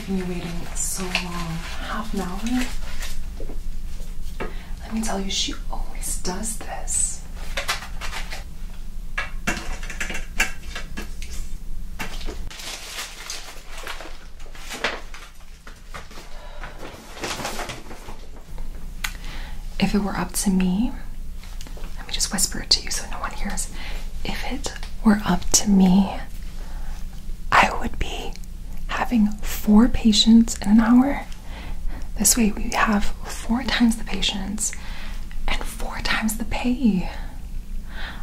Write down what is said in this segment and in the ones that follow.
keeping you waiting so long. Half an hour? Let me tell you, she always does this. If it were up to me, let me just whisper it to you so no one hears. If it were up to me, I would be having four patients in an hour. This way, we have four times the patients and four times the pay.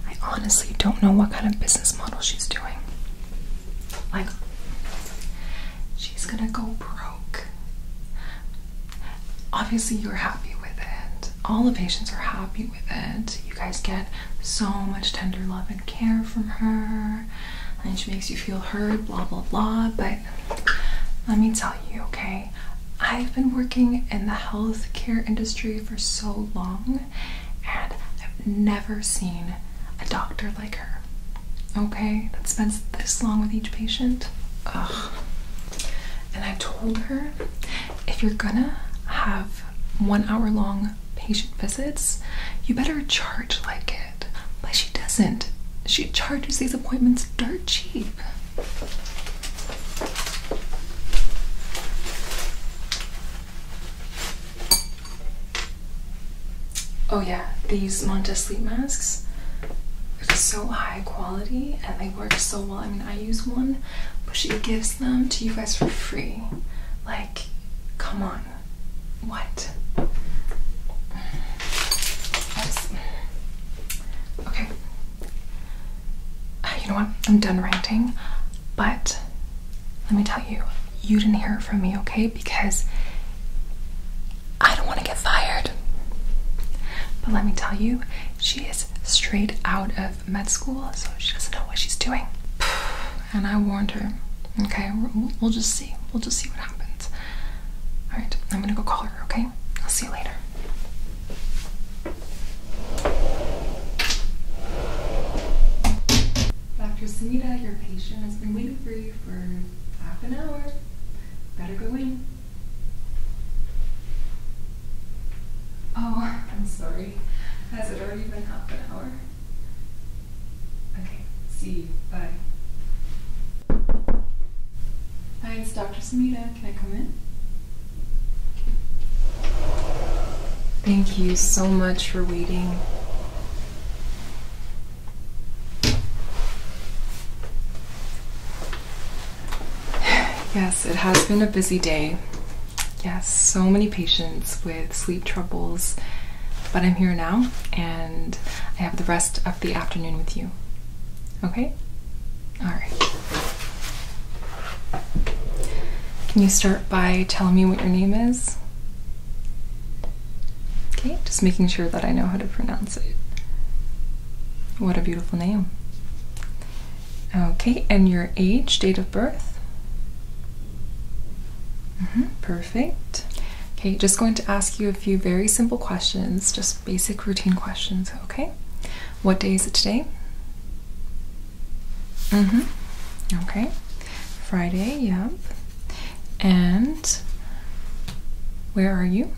I honestly don't know what kind of business model she's doing. Like, she's gonna go broke. Obviously, you're happy with it. All the patients are happy with it. You guys get so much tender love care from her and she makes you feel hurt. blah blah blah. But let me tell you, okay, I've been working in the healthcare industry for so long and I've never seen a doctor like her, okay, that spends this long with each patient. Ugh. And I told her if you're gonna have one hour long patient visits, you better charge like it. But she doesn't. She charges these appointments dirt cheap. Oh, yeah, these Monta sleep masks. They're so high quality and they work so well. I mean, I use one, but she gives them to you guys for free. Like, come on, what? Okay. You know what? I'm done ranting, but let me tell you, you didn't hear it from me, okay? Because I don't want to get fired. But let me tell you, she is straight out of med school, so she doesn't know what she's doing. and I warned her. Okay, we'll, just see. We'll just see what happens. All right, I'm gonna go call her. Okay, I'll see you later. Dr. Sunita, your patient has been waiting for you for half an hour. Better go in. Oh, I'm sorry. Has it already been half an hour? Okay, see you. Bye. Hi, it's Dr. Samita. Can I come in? Thank you so much for waiting. Yes, it has been a busy day. Yes, so many patients sleep troubles, but I'm here now and I have the rest of the afternoon with you. Okay? Alright. Can you start by telling me what your name is? Okay, just making sure that I know how to pronounce it. What a beautiful name. Okay, and your age, date of birth? Mm Perfect. Okay, just going to ask you a few very simple questions, just basic routine questions, okay? What day is it today? Mm-hmm. Okay. Friday, Yup. And where are you?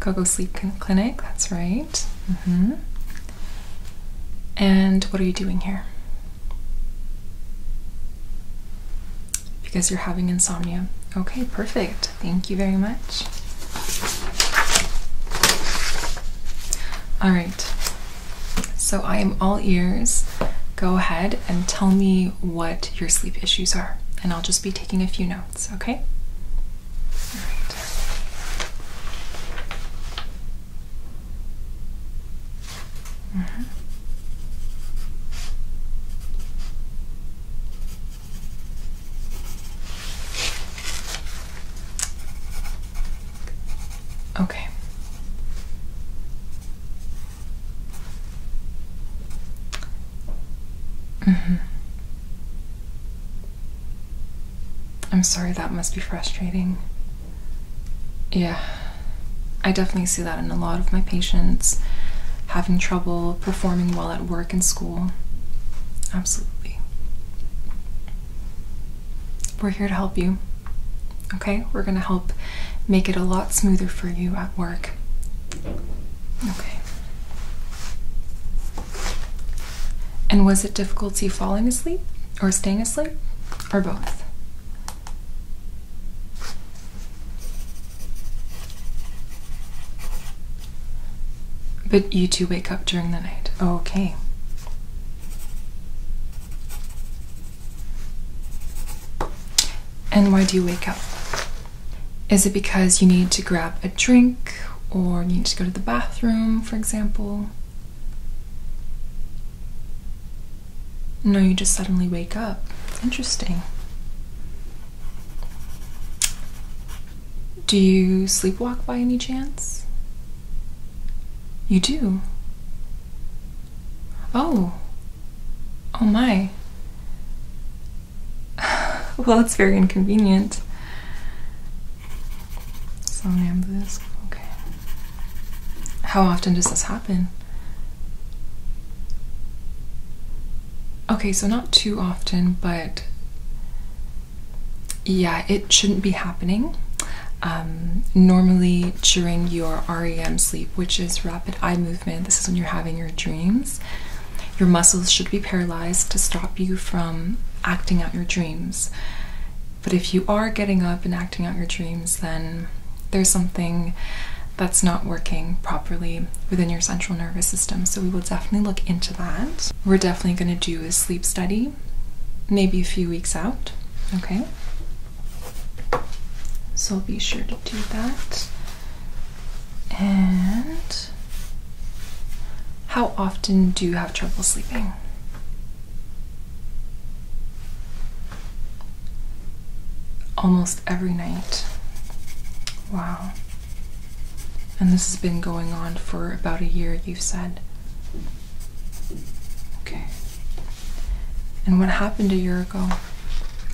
Coco Sleep Clinic, that's right. Mm-hmm. And what are you doing here? Because you're having insomnia. Okay, perfect. Thank you very much. All right. So I am all ears. Go ahead and tell me what your sleep issues are, and I'll just be taking a few notes, okay? Mm-hmm. Okay. Mm -hmm. I'm sorry that must be frustrating. Yeah, I definitely see that in a lot of my patients having trouble performing well at work and school. Absolutely. We're here to help you. Okay? We're going to help make it a lot smoother for you at work. Okay. And was it difficulty falling asleep or staying asleep? Or both. But you two wake up during the night. Okay. And why do you wake up? Is it because you need to grab a drink or you need to go to the bathroom, for example? No, you just suddenly wake up. Interesting. Do you sleepwalk by any chance? You do? Oh. Oh my. well, it's very inconvenient. Somnambulism, okay. How often does this happen? Okay, so not too often, but yeah, it shouldn't be happening. Um, normally, during your REM sleep, which is rapid eye movement, this is when you're having your dreams, your muscles should be paralyzed to stop you from acting out your dreams. But if you are getting up and acting out your dreams, then there's something that's not working properly within your central nervous system. So we will definitely look into that. We're definitely going to do a sleep study, maybe a few weeks out. Okay. So be sure to do that. And how often do you have trouble sleeping? almost every night. Wow. And this has been going on for about a year, you've said. Okay. And what happened a year ago?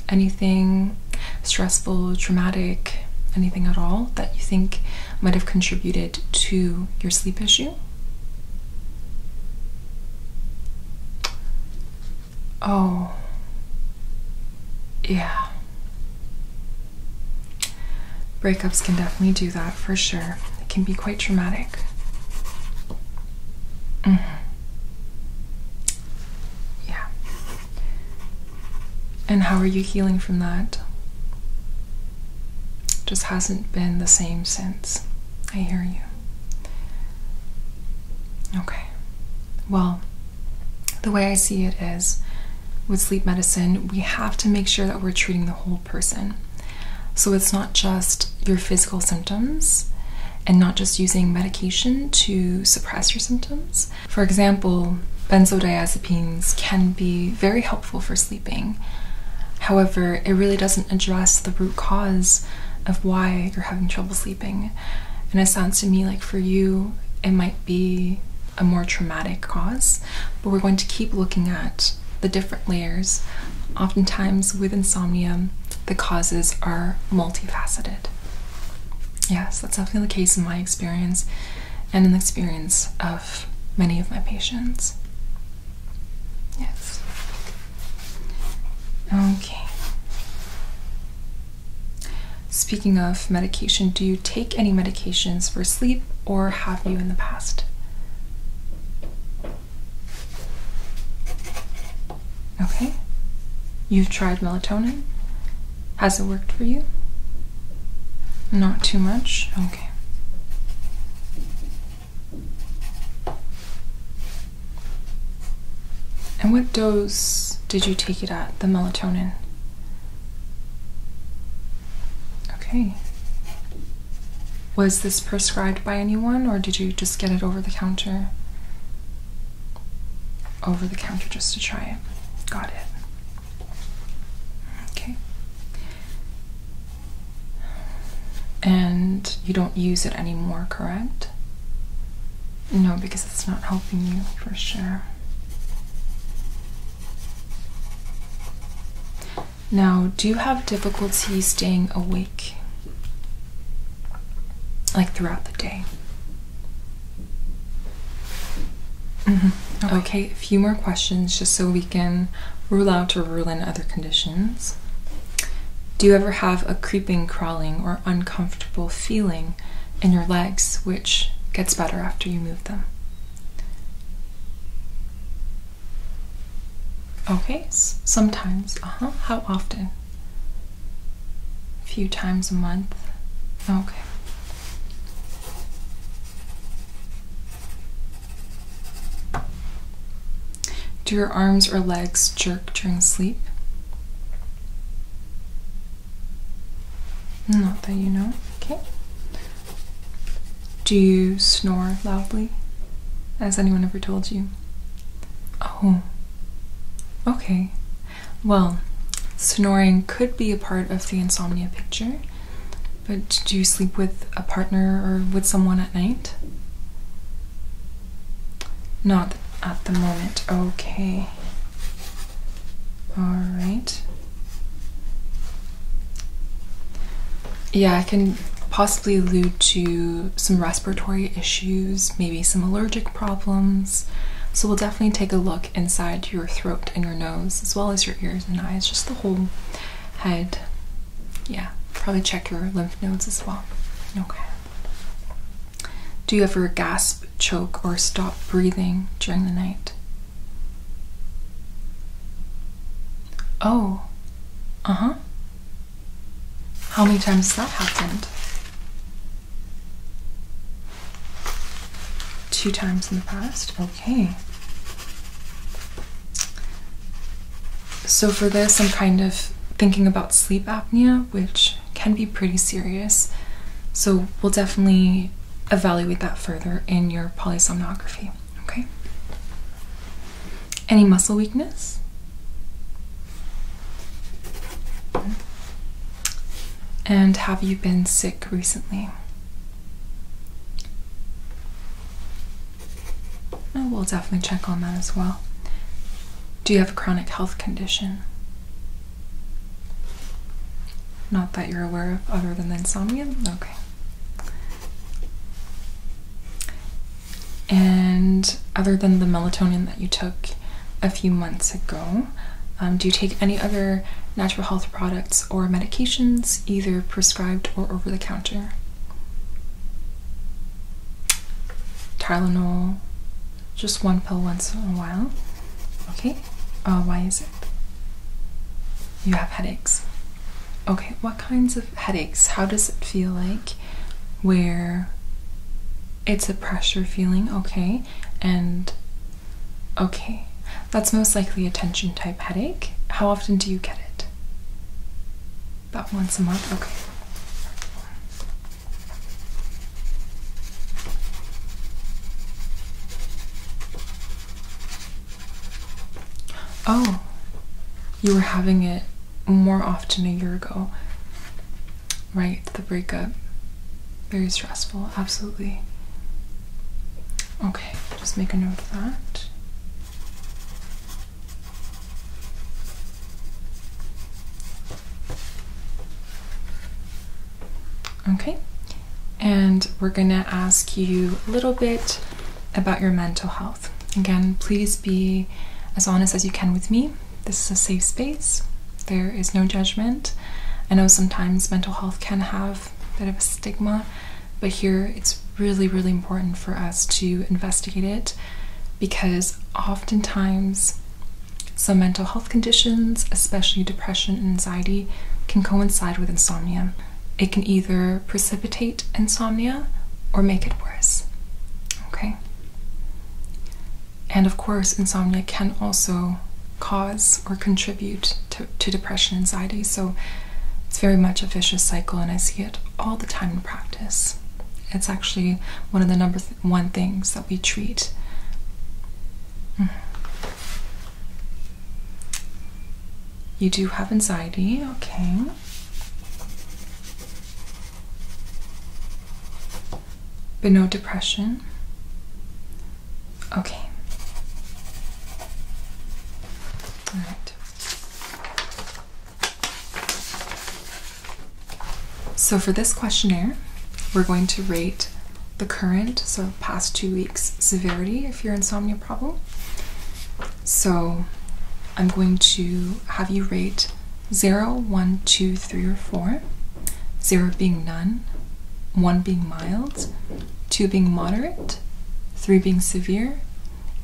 Anything stressful, traumatic, anything at all that you think might have contributed to your sleep issue? Oh, yeah. Breakups can definitely do that for sure. It can be quite traumatic. -hmm. Yeah. And how are you healing from that? Just hasn't been the same since. I hear you. Okay. Well, the way I see it is with sleep medicine, we have to make sure that we're treating the whole person. So it's not just your physical symptoms and not just using medication to suppress your symptoms. For example, benzodiazepines can be very helpful for sleeping. However, it really doesn't address the root cause of why you're having trouble sleeping. And it sounds to me like for you, it might be a more traumatic cause, but we're going to keep looking at the different layers. Oftentimes, with insomnia, the causes are multifaceted. Yes, that's definitely the case in my experience and in the experience of many of my patients. Yes. Okay. Speaking of medication, do you take any medications for sleep or have you in the past? Okay. You've tried melatonin? Has it worked for you? Not too much? Okay. And what dose did you take it at, the melatonin? Okay. Was this prescribed by anyone or did you just get it over the counter? Over the counter just to try it. Got it. Okay. And you don't use it anymore, correct? No, because it's not helping you for sure. Now, do you have difficulty staying awake? Like throughout the day? Mm-hmm. okay. a few more questions just so we can rule out or rule in other conditions. Do you ever have a creeping, crawling, or uncomfortable feeling in your legs, which gets better after you move them? Okay, sometimes. Uh huh. How often? A few times a month. Okay. Do your arms or legs jerk during sleep? Not that you know. Okay. Do you snore loudly? as anyone ever told you? Oh. Okay. Well, snoring could be a part of the insomnia picture, but do you sleep with a partner or with someone at night? Not at the moment. Okay. All right. Yeah, I can possibly allude to some respiratory issues, maybe some allergic problems. So we'll definitely take a look inside your throat and your nose, as well as your ears and eyes, just the whole head. Yeah, probably check your lymph nodes as well. Okay. Do you ever gasp, choke, or stop breathing during the night? Oh, uh huh. How many times has that happened? Two times in the past? Okay. So, for this, I'm kind of thinking about sleep apnea, which can be pretty serious. So, we'll definitely evaluate that further in your polysomnography. Okay? Any muscle weakness? And have you been sick recently? Oh, we'll definitely check on that as well. Do you have a chronic health condition? Not that you're aware of, other than the insomnia? Okay. And other than the melatonin that you took a few months ago, um, do you take any other natural health products or medications, either prescribed or over the counter? Tylenol, just one pill once in a while. Okay, uh, why is it? You have headaches. Okay, what kinds of headaches? How does it feel like? Where it's a pressure feeling, okay, and okay, that's most likely a tension type headache. How often do you get it? About once a month? Okay. Oh, you were having it more often a year ago. Right, the breakup. Very stressful, absolutely. Okay, just make a note of that. Okay, and we're gonna ask you a little bit about your mental health. Again, please be as honest as you can with me. This is a safe space, there is no judgment. I know sometimes mental health can have a bit of a stigma, but here it's really, really important for us to investigate it because oftentimes some mental health conditions, especially depression and anxiety, can coincide with insomnia. It can either precipitate insomnia or make it worse. Okay? And of course, insomnia can also cause or contribute to, to depression and anxiety. So it's very much a vicious cycle, and I see it all the time in practice. It's actually one of the number one things that we treat. Mm-hmm. You do have anxiety, okay. But no depression. Okay. All right. So for this questionnaire, we're going to rate the current, so past two weeks, severity of your insomnia problem. So I'm going to have you rate 0, 1, 2, 3, or 4. 0 being none, 1 being mild, 2 being moderate, 3 being severe,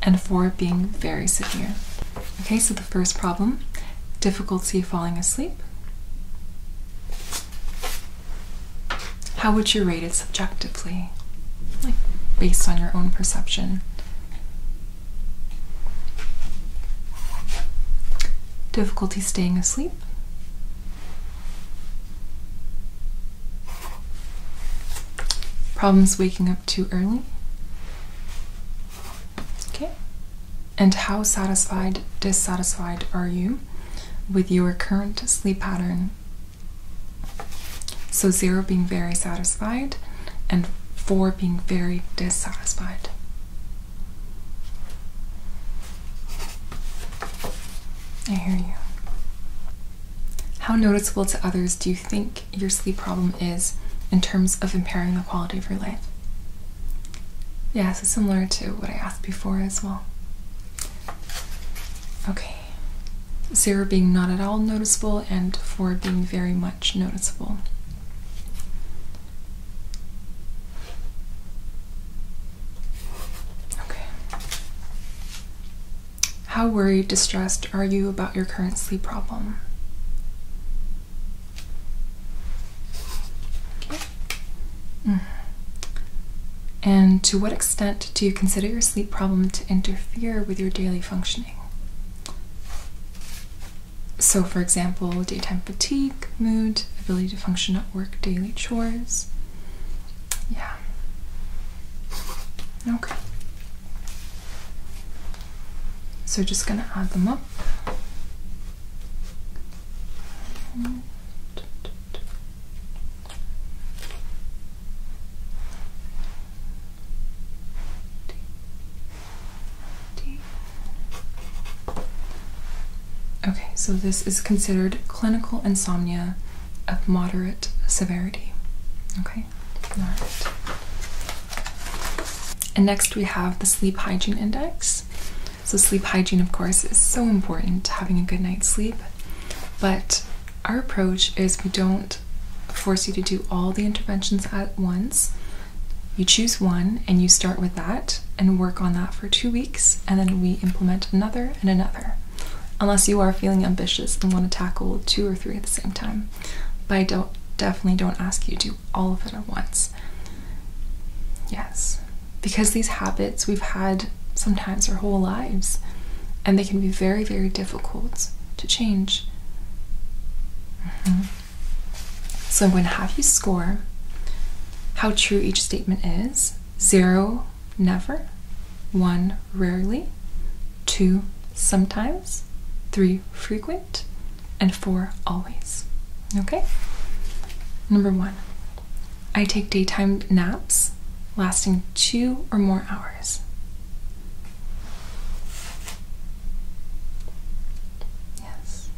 and 4 being very severe. Okay, so the first problem difficulty falling asleep. How would you rate it subjectively? Like based on your own perception? Difficulty staying asleep. Problems waking up too early? Okay. And how satisfied, dissatisfied are you with your current sleep pattern? So, zero being very satisfied, and four being very dissatisfied. I hear you. How noticeable to others do you think your sleep problem is in terms of impairing the quality of your life. Yeah, so similar to what I asked before as well. Okay, zero being not at all noticeable, and four being very much noticeable. Okay. How worried, distressed are you about your current sleep problem? Mm. And to what extent do you consider your sleep problem to interfere with your daily functioning? So, for example, daytime fatigue, mood, ability to function at work, daily chores. Yeah. Okay. So just going to add them up. Okay, so this is considered clinical insomnia of moderate severity. Okay, and next we have the sleep hygiene index. So sleep hygiene of course is so important having a good night's sleep. But our approach is we don't force you to do all the interventions at once. You choose one and you start with that and work on that for two weeks, and then we implement another and another, unless you are feeling ambitious and want to tackle two or three at the same time but I don't definitely don't ask you to do all of it at once. Yes, because these habits we've had sometimes our whole lives, and they can be very, very difficult to change. Mm-hmm. So I'm going to have you score how true each statement is zero, never, one, rarely, two, sometimes three frequent, and four always. Okay? Number one, I take daytime naps lasting two or more hours. Yes.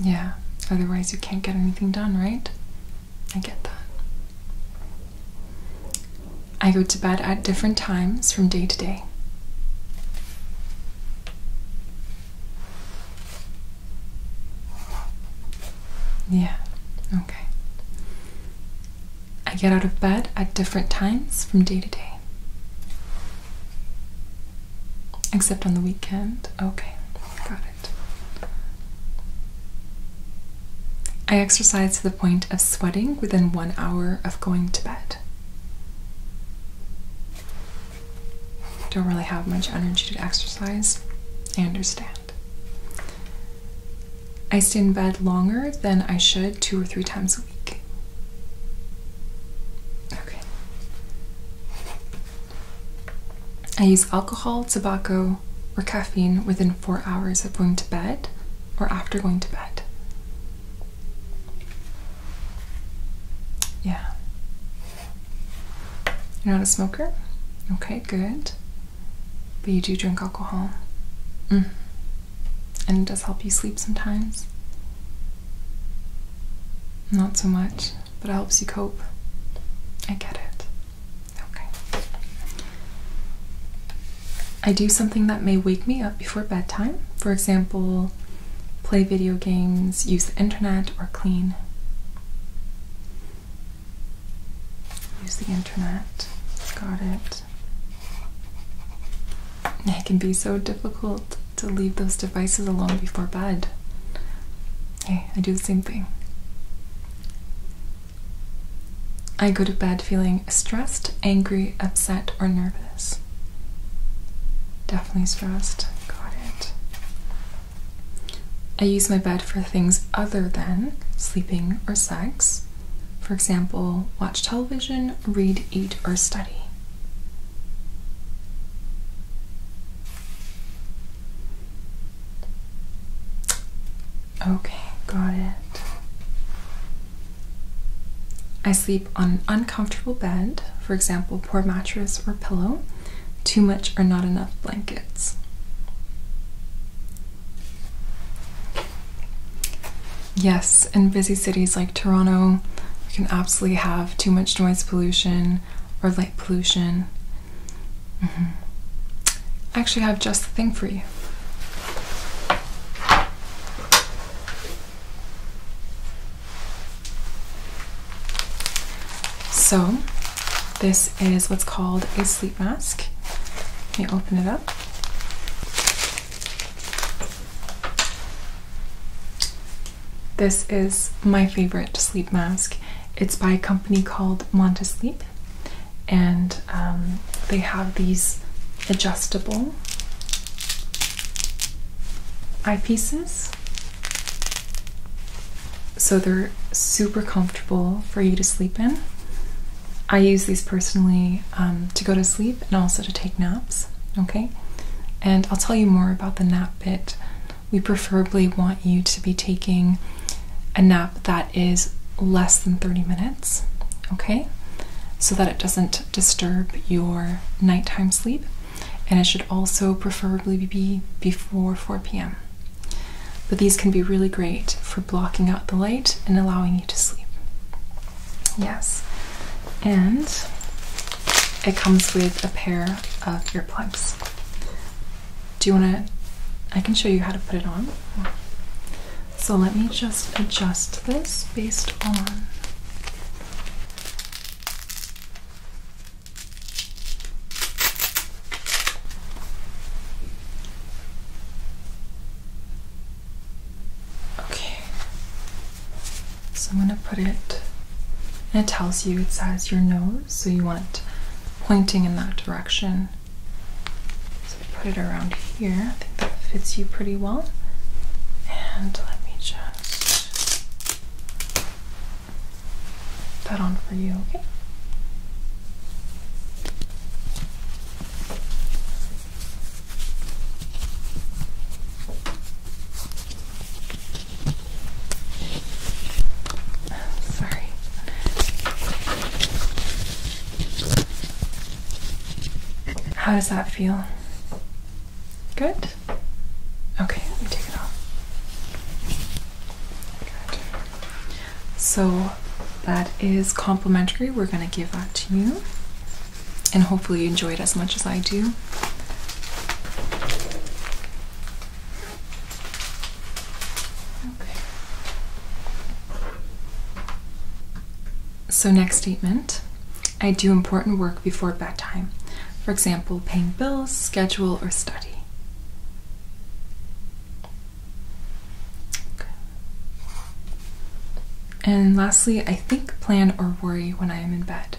Yeah, otherwise you can't get anything done, right? I get that. I go to bed at different times from day to day. Yeah, okay. I get out of bed at different times from day to day. Except on the weekend. Okay, got it. I exercise to the point of sweating within one hour of going to bed. Don't really have much energy to exercise. I understand. I stay in bed longer than I should two or three times a week. Okay. I use alcohol, tobacco, or caffeine within four hours of going to bed or after going to bed. Yeah. You're not a smoker? Okay, good. But you do drink alcohol. Mm. And it does help you sleep sometimes. Not so much, but it helps you cope. I get it. Okay. I do something that may wake me up before bedtime. For example, play video games, use the internet, or clean. Use the internet. Got it. It can be so difficult to leave those devices alone before bed. Hey, I do the same thing. I go to bed feeling stressed, angry, upset, or nervous. Definitely stressed. Got it. I use my bed for things other than sleeping or sex. For example, watch television, read, eat, or study. Okay, got it. I sleep on an uncomfortable bed, for example, poor mattress or pillow, too much or not enough blankets. Yes, in busy cities like Toronto, you can absolutely have too much noise pollution or light pollution. Mm I actually have just the thing for you. So, this is what's called a sleep mask. Let me open it up. This is my favorite sleep mask. It's by a company called Montesleep and um, they have these adjustable eyepieces. So they're super comfortable for you to sleep in. I use these personally um, to go to sleep and also to take naps, okay? And I'll tell you more about the nap bit. We preferably want you to be taking a nap that is less than 30 minutes, okay? So that it doesn't disturb your nighttime sleep. And it should also preferably be before 4 p.m. But these can be really great for blocking out the light and allowing you to sleep. Yes. And it comes with a pair of earplugs. Do you want to? I can show you how to put it on. So let me just adjust this based on. Okay. So I'm going to put it, and it tells you it says your nose, so you want it pointing in that direction. So put it around here. I think that fits you pretty well. And let me just put that on for you, okay? Sorry. How does that feel? Good? Okay, let me take it off. So that is complimentary. We're going to give that to you. And hopefully you enjoy it as much as I do. So, next statement I do important work before bedtime. For example, paying bills, schedule, or study. And lastly, I think, plan, or worry when I am in bed.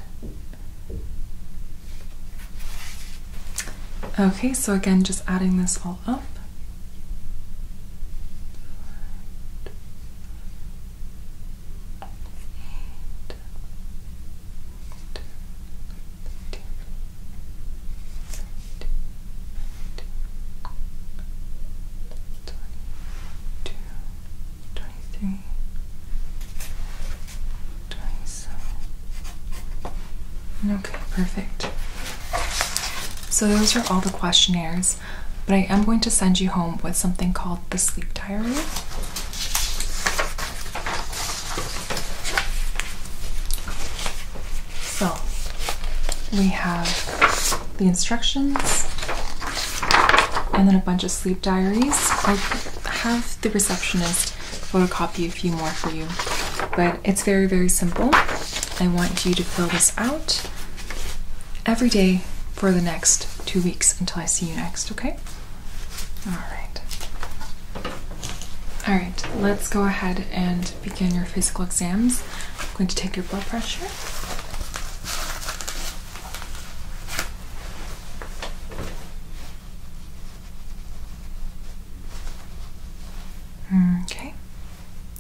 Okay, so again, just adding this all up. Eight, two, Okay, perfect. So those are all the questionnaires but I am going to send you home with something called the sleep diary. So we have the instructions and then a bunch of sleep diaries. I'll have the receptionist photocopy a few more for you, but it's very, very simple. I want you to fill this out every day for the next two weeks until I see you next, okay? Alright. Alright, let's go ahead and begin your physical exams. I'm going to take your blood pressure. Okay.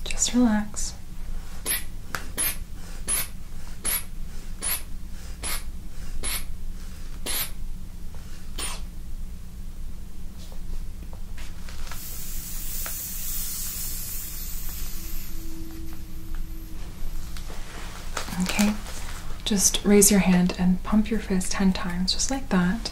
Just relax. Okay, just raise your hand and pump your fist 10 times, just like that.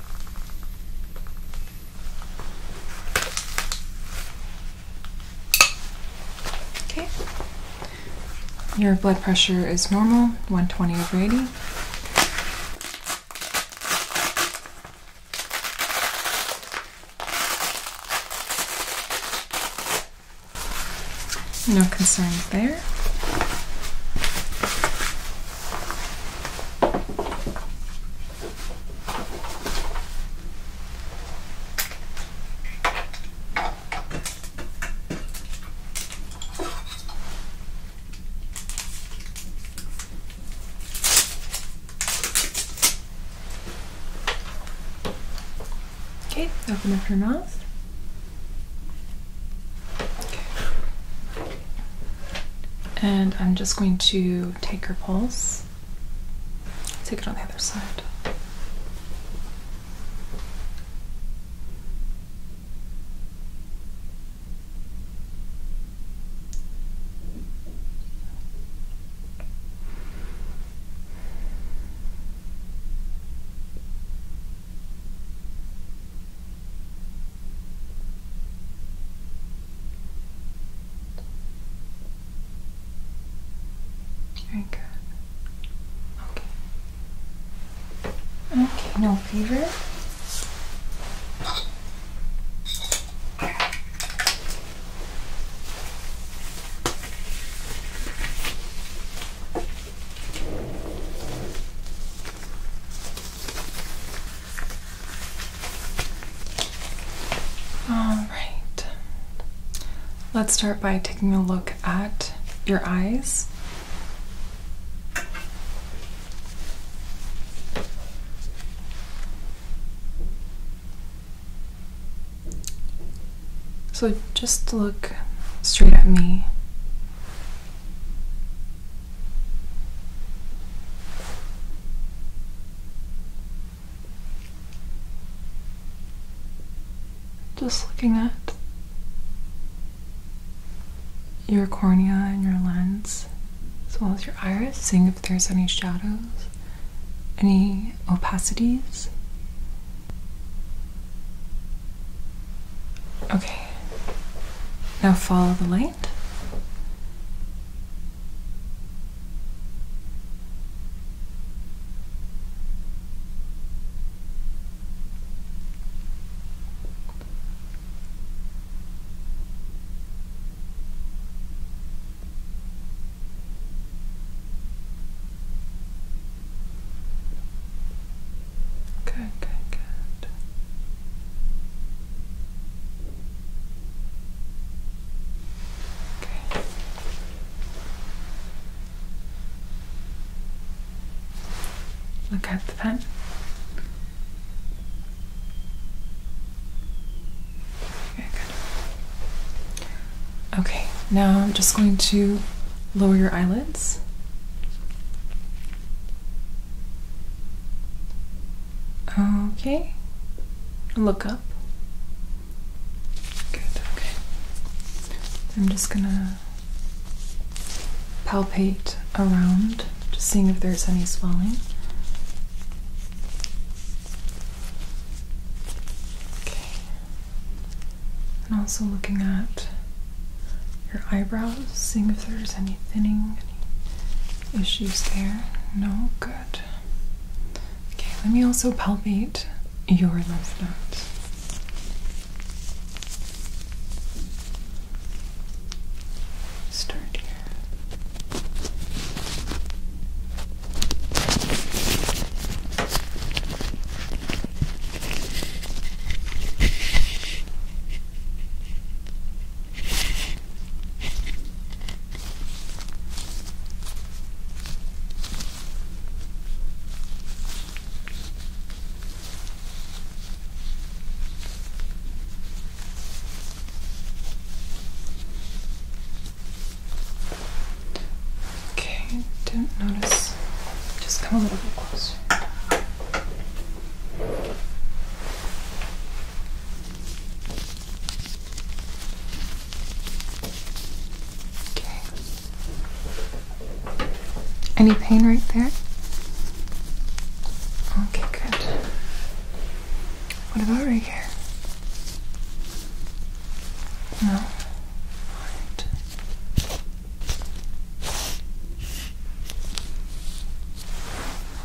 Okay. Your blood pressure is normal, 120 over 80. No concerns there. Okay, open up your mouth. Okay. And I'm just going to take her pulse, take it on the other side. Very Okay. Okay, no fever. All right. Let's start by taking a look at your eyes. So just look straight at me. Just looking at your cornea and your lens, as well as your iris, seeing if there's any shadows, any opacities. Okay, now follow the light right? Good, good, good. Look at the pen. Very good. Okay, now I'm just going to lower your eyelids. Okay. Look up. Good, okay. I'm just gonna palpate around, just seeing if there's any swelling. Okay. And also looking at your eyebrows, seeing if there's any thinning, issues there? No? Good. Okay, let me also palpate your lymph nodes. Start here. Okay, don't notice. Just come a little bit closer. Any pain right there? Okay, good. What about right here? No.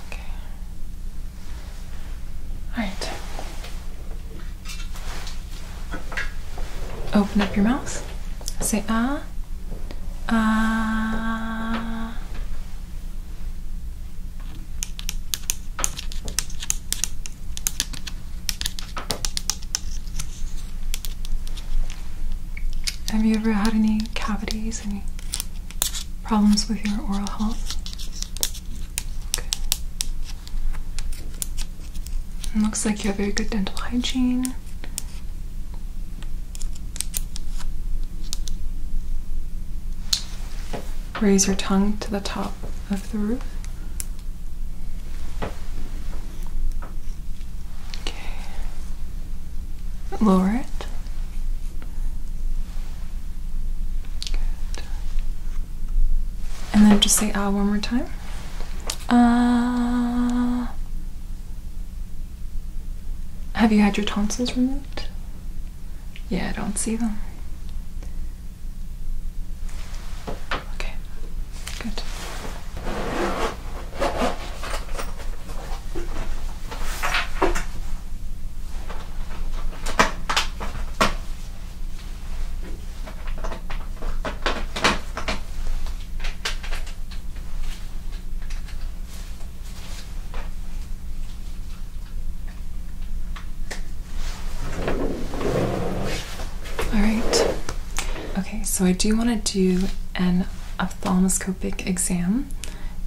Okay. Alright. Open up your mouth. Say ah. Ah. Have you ever had any cavities? any problems with your oral health? looks like you have very good dental hygiene. Raise your tongue to the top of the roof. Okay lower it. Good. And then just say ah one more time. Ah. have you had your tonsils removed? Yeah, I don't see them. Okay, good. All right. Okay, so I do want to do an ophthalmoscopic exam.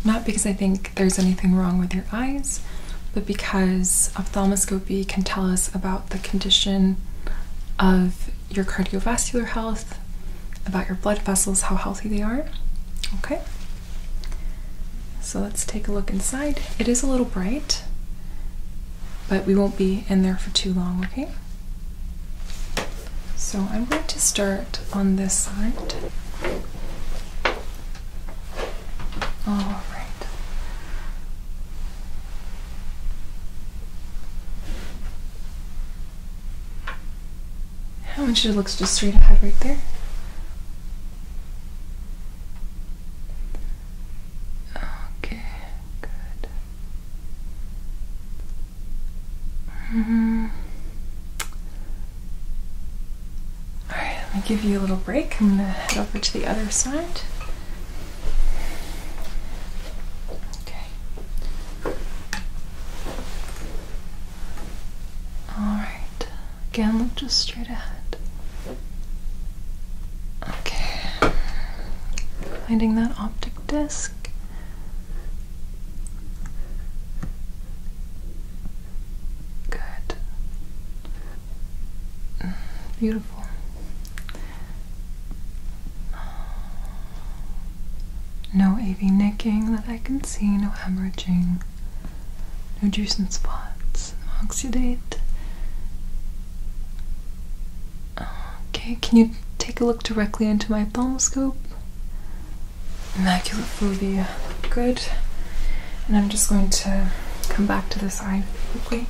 Not because I think there's anything wrong with your eyes, but because ophthalmoscopy can tell us about the condition of your cardiovascular health, about your blood vessels, how healthy they are. Okay, so let's take a look inside. It is a little bright, but we won't be in there for too long, okay? So I'm going to start on this side. All right. I want you to look just straight ahead right there. Okay, good. Mm -hmm. Alright, let me give you a little break. I'm gonna head over to the other side. Okay. Alright. Again, look just straight ahead. Okay. Finding that optic disc. Good. Mm, beautiful. No AV nicking that I can see, no hemorrhaging, no juice and spots, no oxidate. Okay, can you take a look directly into my ophthalmoscope? immaculate phobia. Good. And I'm just going to come back to this eye quickly.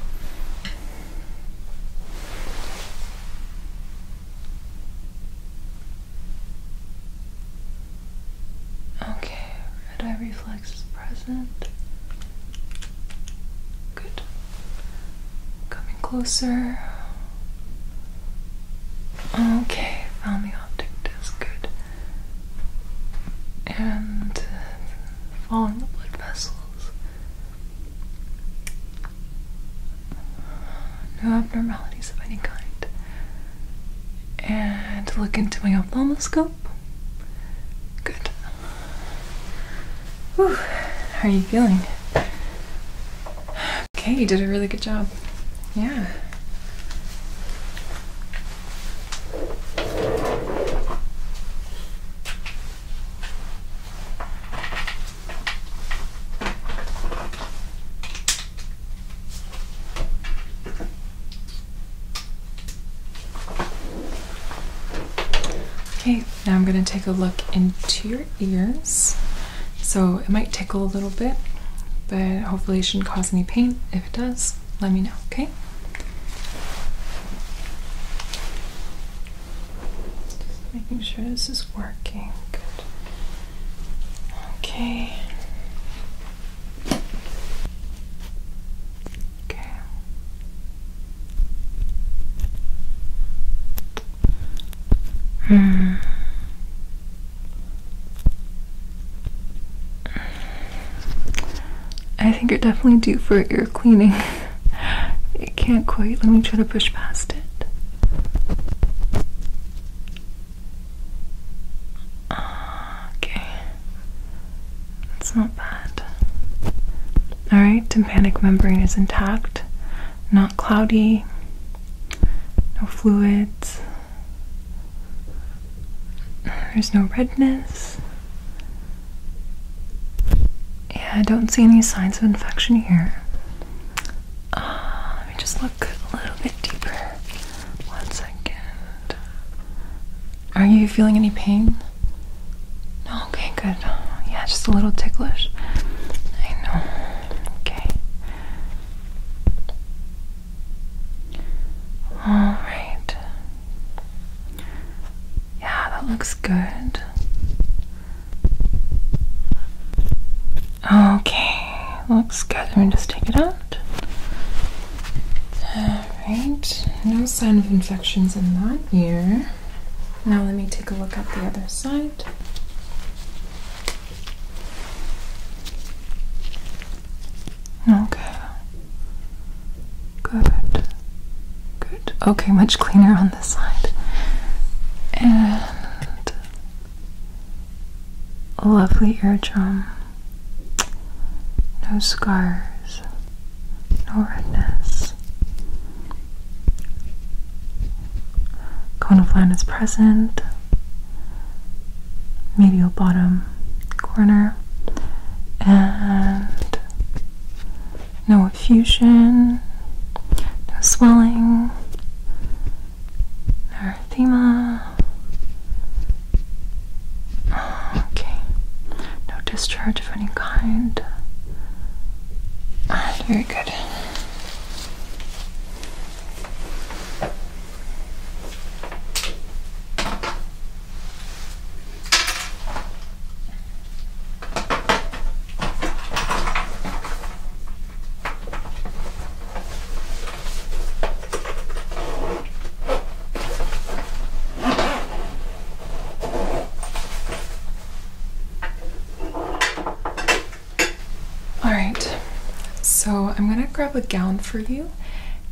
Okay, red eye reflex is present. Good. Coming closer. Okay, found the optic disc. Good and uh, following the blood vessels. No abnormalities of any kind. And look into my ophthalmoscope. Good. Whew. How are you feeling? Okay, you did a really good job. Yeah. Okay, now I'm going to take a look into your ears. So it might tickle a little bit, but hopefully it shouldn't cause any pain if it does, let me know, okay? Just making sure this is working. Good. Okay. Okay. Mm. I think you're definitely due for ear cleaning. it can't quite. Let me try to push past it. Okay. That's not bad. Alright, tympanic membrane is intact. Not cloudy. No fluids. There's no redness. Yeah, I don't see any signs of infection here. Ah, let me just look a little bit deeper. One second. Are you feeling any pain? No, okay, good. Yeah, just a little ticklish. I know. Okay. All right. Yeah, that looks good. Okay, let's gather and just take it out. All right, no sign of infections in that ear. Now let me take a look at the other side. Okay. Good. Good. Okay, much cleaner on this side. And lovely eardrum. No scars. No redness. Cone of line is present. Medial bottom corner and no effusion, no swelling, erythema. Okay, no discharge of any kind. Ah, very good. All right, so I'm gonna grab a gown for you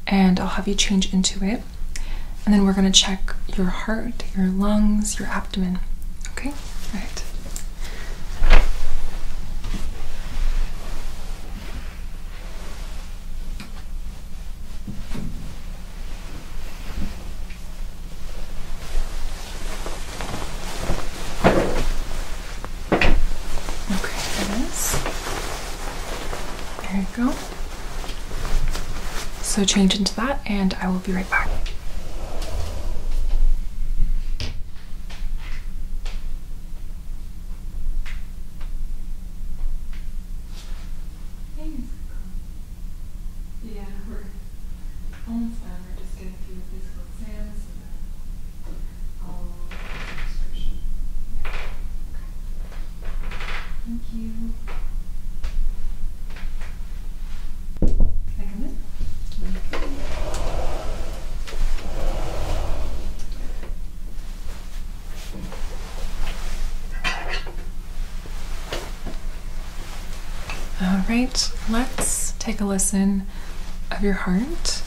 and I'll have you change into it. And then we're gonna check your heart, your lungs, your abdomen. Okay? All right. Okay, it is. There you go. So change into that and I will be right back. Yeah, we're almost done. we just getting through the physical and then Thank you. Can I come in? Okay. All right, let's take a listen of your heart.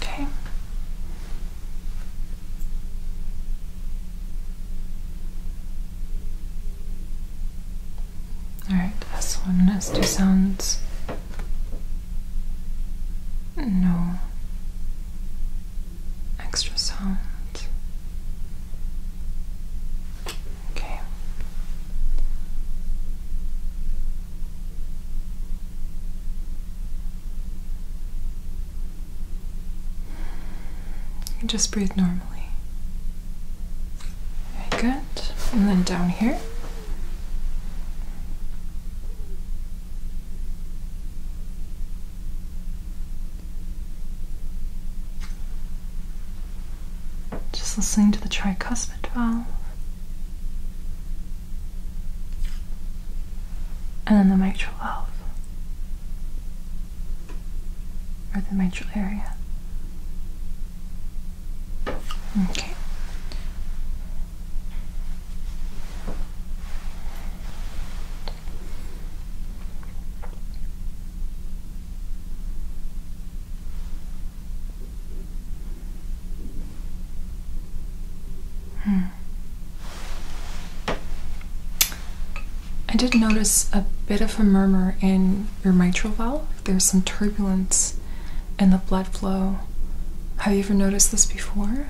Okay. All right, this one has two sounds. No extra sound. Okay. Just breathe normally. Very good. And then down here. Just listening to the tricuspid valve. And then the mitral valve. Or the mitral area. Okay. Hmm. I did notice a bit of a murmur in your mitral valve. There's some turbulence in the blood flow. Have you ever noticed this before?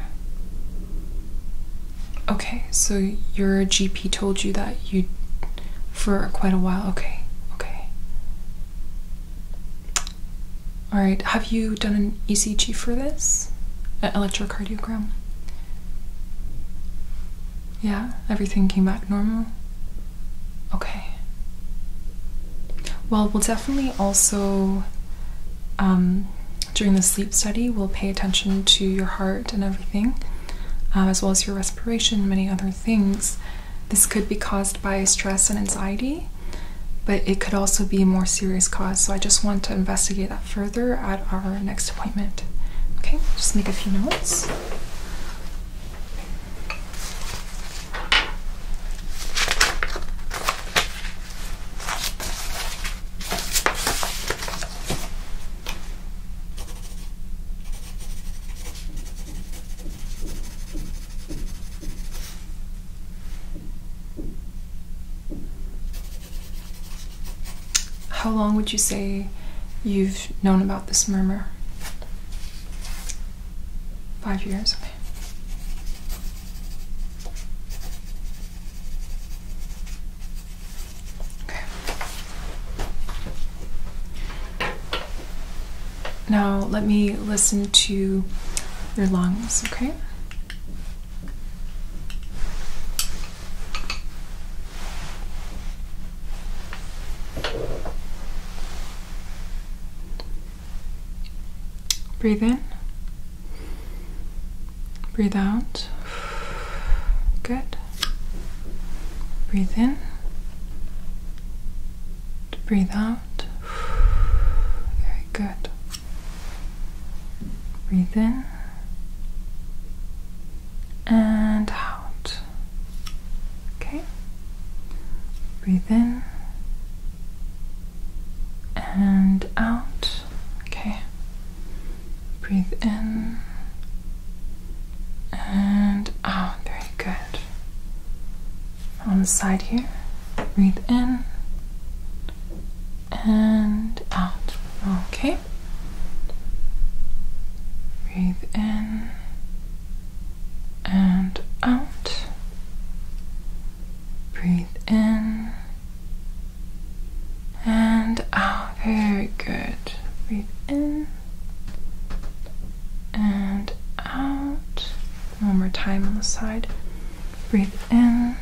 Okay, so your GP told you that you for quite a while. Okay, okay. All right, have you done an ECG for this? An electrocardiogram? Yeah, everything came back normal. Okay. Well, we'll definitely also um, during the sleep study, we'll pay attention to your heart and everything, um, as well as your respiration, many other things. This could be caused by stress and anxiety, but it could also be a more serious cause. So I just want to investigate that further at our next appointment. Okay, just make a few notes. How long would you say you've known about this murmur? Five years, now let me listen to your lungs, okay? Breathe in Breathe out. Good. Breathe in. Breathe out. Very good. Breathe in. And out. Okay. Breathe in. And out. Okay. Breathe in and out. Very good. On the side here, breathe in and out. Okay. Breathe in and out. Breathe in and out. Oh, very good. Breathe in and out. One more time on the side. Breathe in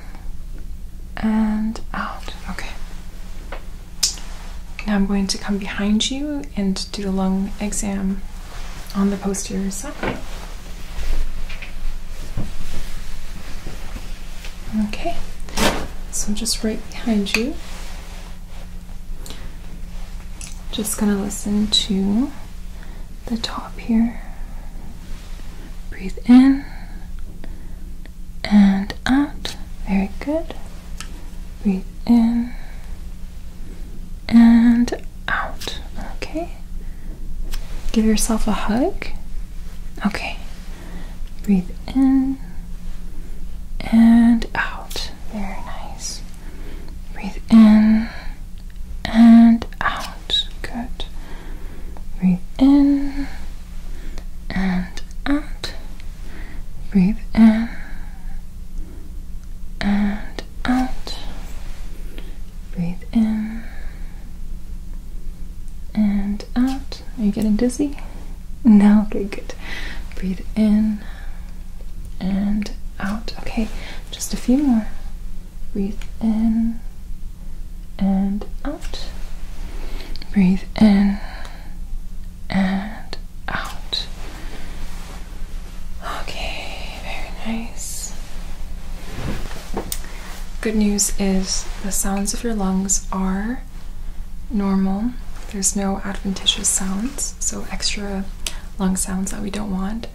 and out. Okay. Now I'm going to come behind you and do the lung exam on the posterior side. Okay, so just right behind you. Just gonna listen to the top here. Breathe in and out. Very good. Breathe in and out. Okay. Give yourself a hug. Okay. Breathe in and out. Very nice. Breathe in and out. Good. Breathe in and out. Breathe in and out. Breathe in and out. Are you getting dizzy? No? Okay, good. Breathe in and out. Okay, just a few more. Breathe in and out. Breathe in and out. Okay, very nice. Good news is the sounds of your lungs are normal. There's no adventitious sounds, so extra lung sounds that we don't want.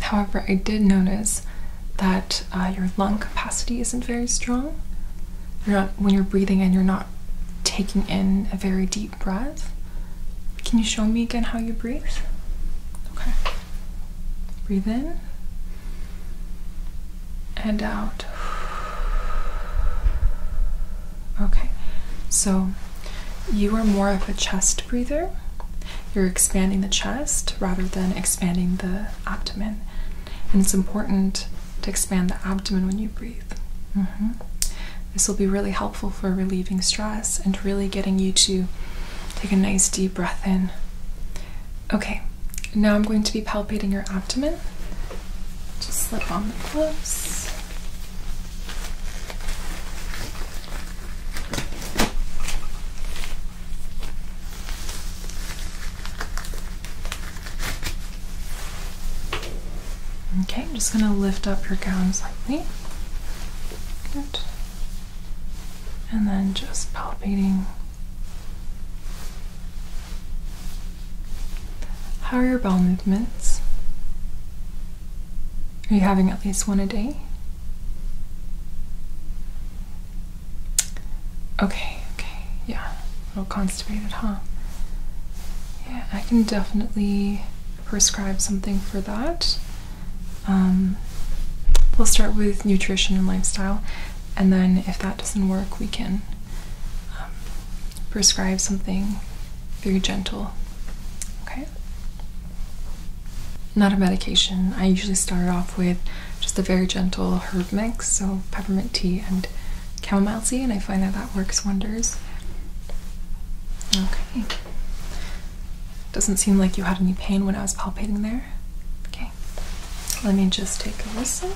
However, I did notice that uh, your lung capacity isn't very strong. You're not, when you're breathing in, you're not taking in a very deep breath. Can you show me again how you breathe? Okay. Breathe in and out. Okay, so you are more of a chest breather. You're expanding the chest rather than expanding the abdomen. And it's important to expand the abdomen when you breathe. Mm-hmm. This will be really helpful for relieving stress and really getting you to take a nice deep breath in. Okay, now I'm going to be palpating your abdomen. Just slip on the gloves. Okay, I'm just going to lift up your gown slightly. Good. And then just palpating how are your bowel movements? Are you having at least one a day? Okay, okay, yeah. A little constipated, huh? Yeah, I can definitely prescribe something for that. Um, we'll start with nutrition and lifestyle, and then if that doesn't work, we can um, prescribe something very gentle. Okay? Not a medication. I usually start off with just a very gentle herb mix, so peppermint tea and chamomile tea, and I find that that works wonders. Okay. Doesn't seem like you had any pain when I was palpating there. Okay. Let me just take a listen.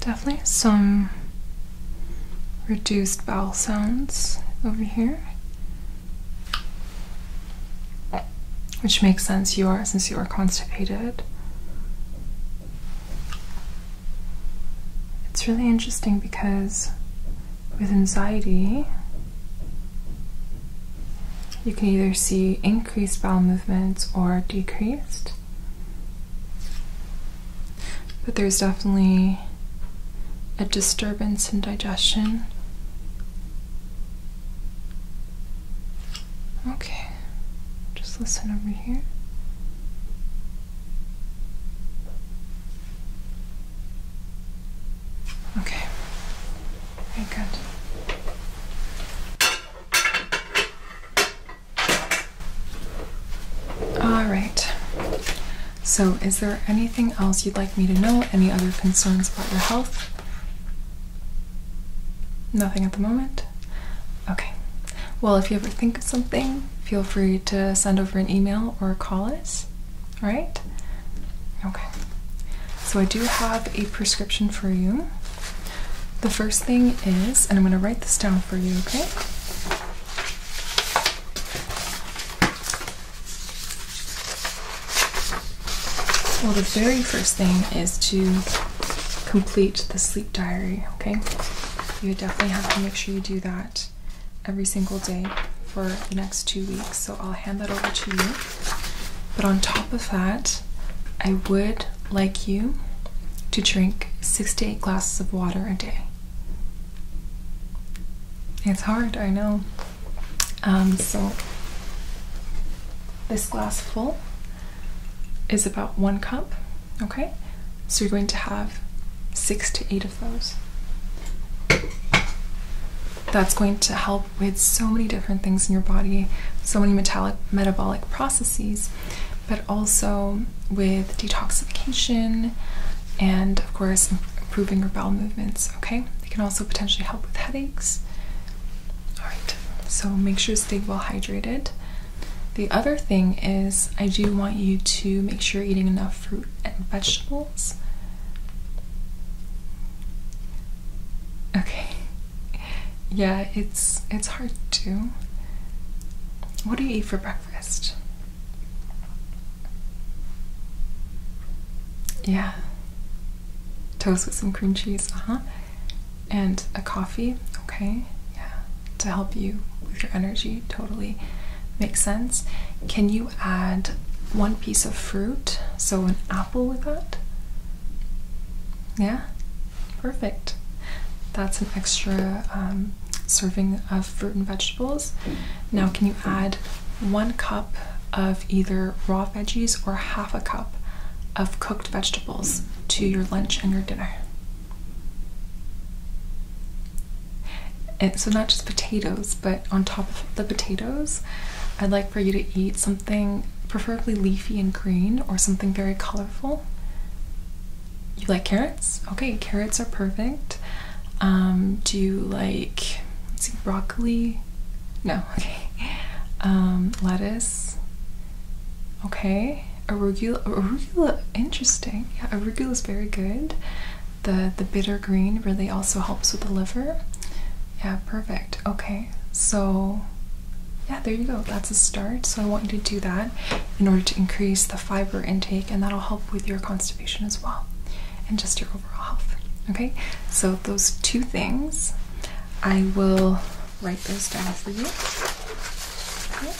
Definitely some reduced vowel sounds over here. Which makes sense you are since you are constipated. It's really interesting because with anxiety you can either see increased bowel movements or decreased. But there's definitely a disturbance in digestion. Okay, just listen over here. Okay, very good. All right. So, is there anything else you'd like me to know? Any other concerns about your health? Nothing at the moment? Okay. Well, if you ever think of something, feel free to send over an email or call us. All right? Okay. So, I do have a prescription for you. The first thing is, and I'm going to write this down for you, okay? Well, the very first thing is to complete the sleep diary, okay? You definitely have to make sure you do that every single day for the next two weeks, so I'll hand that over to you. But on top of that, I would like you to drink six to eight glasses of water a day. It's hard, I know. Um, so, this glass full is about one cup, okay? So, you're going to have six to eight of those. That's going to help with so many different things in your body, so many metabolic metabolic processes but also with detoxification and, of course, improving your bowel movements. Okay, they can also potentially help with headaches. All right, so make sure to stay well hydrated. The other thing is, I do want you to make sure you're eating enough fruit and vegetables. Okay, yeah, it's it's hard too. What do you eat for breakfast? Yeah. Toast with some cream cheese, uh-huh. And a coffee, okay? Yeah. To help you with your energy, totally makes sense. Can you add one piece of fruit? So an apple with that? Yeah? Perfect. That's an extra um, serving of fruit and vegetables. Now, can you add one cup of either raw veggies or half a cup of cooked vegetables to your lunch and your dinner? And so, not just potatoes, but on top of the potatoes, I'd like for you to eat something preferably leafy and green or something very colorful. You like carrots? Okay, carrots are perfect. Um, do you like let's see, broccoli? No, okay. Um, lettuce. Okay. Arugula, arugula, interesting. Yeah, arugula is very good. The the bitter green really also helps with the liver. Yeah, perfect. Okay, so yeah, there you go. That's a start. So I want you to do that in order to increase the fiber intake, and that'll help with your constipation as well, and just your overall health. Okay, so those two things, I will write those down for you. Okay.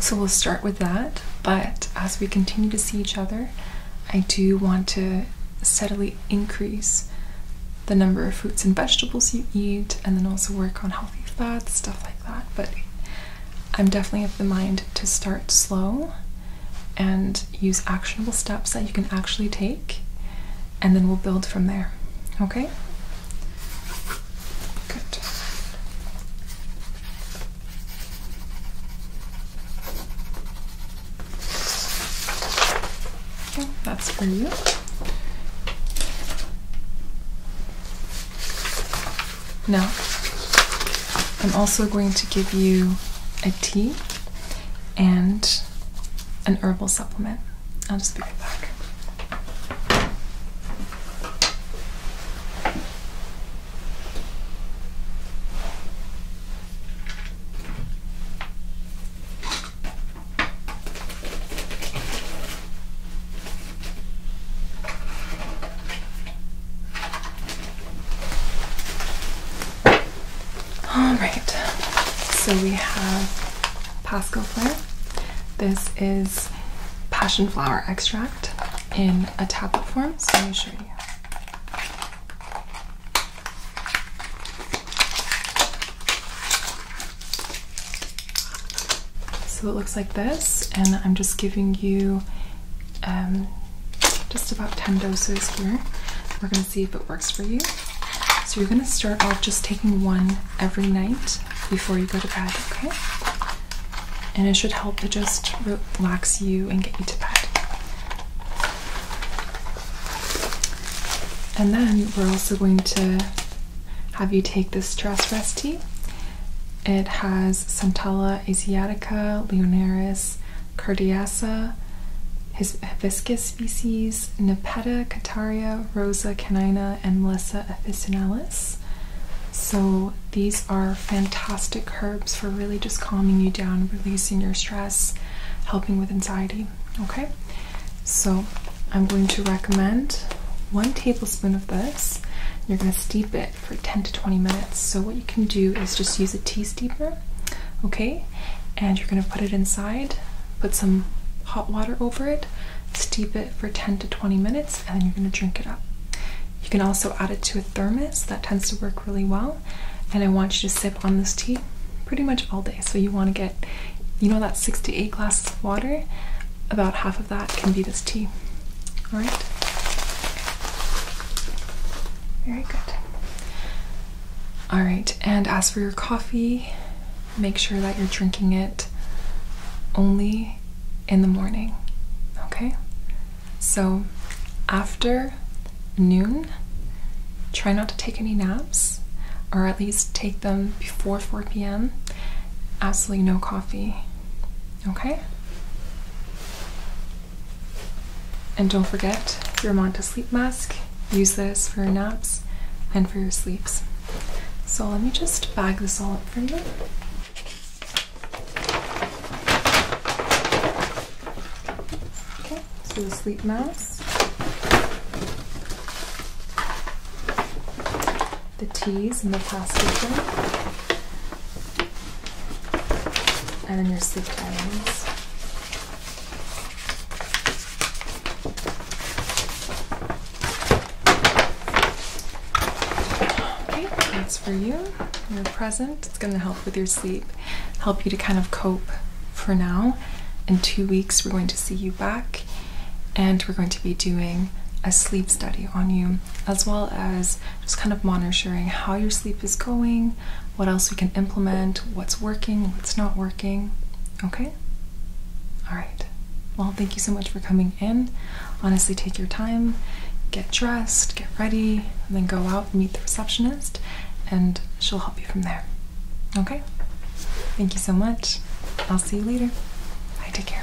So we'll start with that, but as we continue to see each other, I do want to steadily increase the number of fruits and vegetables you eat, and then also work on healthy fats, stuff like that. But I'm definitely of the mind to start slow and use actionable steps that you can actually take, and then we'll build from there. Okay? Good that's for you. Now, I'm also going to give you a tea and an herbal supplement. I'll just be right back. Alright, so we have Pascal Flair. This is passion flower extract in a tablet form, so let me show you. So it looks like this, and I'm just giving you um, just about 10 doses here. We're going to see if it works for you. So you're going to start off just taking one every night before you go to bed, okay? and it should help to just relax you and get you to bed. And then we're also going to have you take the stress rest tea. It has Centella asiatica, Leonaris, Cardiacea, hibiscus species, Nepeta cataria, Rosa canina, and Melissa officinalis. So, these are fantastic herbs for really just calming you down, releasing your stress, helping with anxiety. Okay, so I'm going to recommend one tablespoon of this. You're going to steep it for 10 to 20 minutes. So, what you can do is just use a tea steamer. okay, and you're going to put it inside, put some hot water over it, steep it for 10 to 20 minutes, and then you're going to drink it up. You can also add it to a thermos, that tends to work really well. And I want you to sip on this tea pretty much all day. So you want to get, you know, that sixty-eight glasses of water, about half of that can be this tea. All right? Very good. All right, and as for your coffee, make sure that you're drinking it only in the morning. Okay? So after noon, try not to take any naps, or at least take them before 4 p.m. Absolutely no coffee. Okay? And don't forget your Monta sleep mask. Use this for your naps and for your sleeps. So let me just bag this all up for you. Okay, so the sleep mask, the teas and the pastilla, and then your sleep diaries. Okay, that's for you. Your present. It's going to help with your sleep, help you to kind of cope for now. In two weeks, we're going to see you back and we're going to be doing a sleep study on you, as well as just kind of monitoring how your sleep is going, what else we can implement, what's working, what's not working. Okay? All right. Well, thank you so much for coming in honestly take your time, get dressed, get ready, and then go out and meet the receptionist, and she'll help you from there. Okay? Thank you so much. I'll see you later. Bye, take care.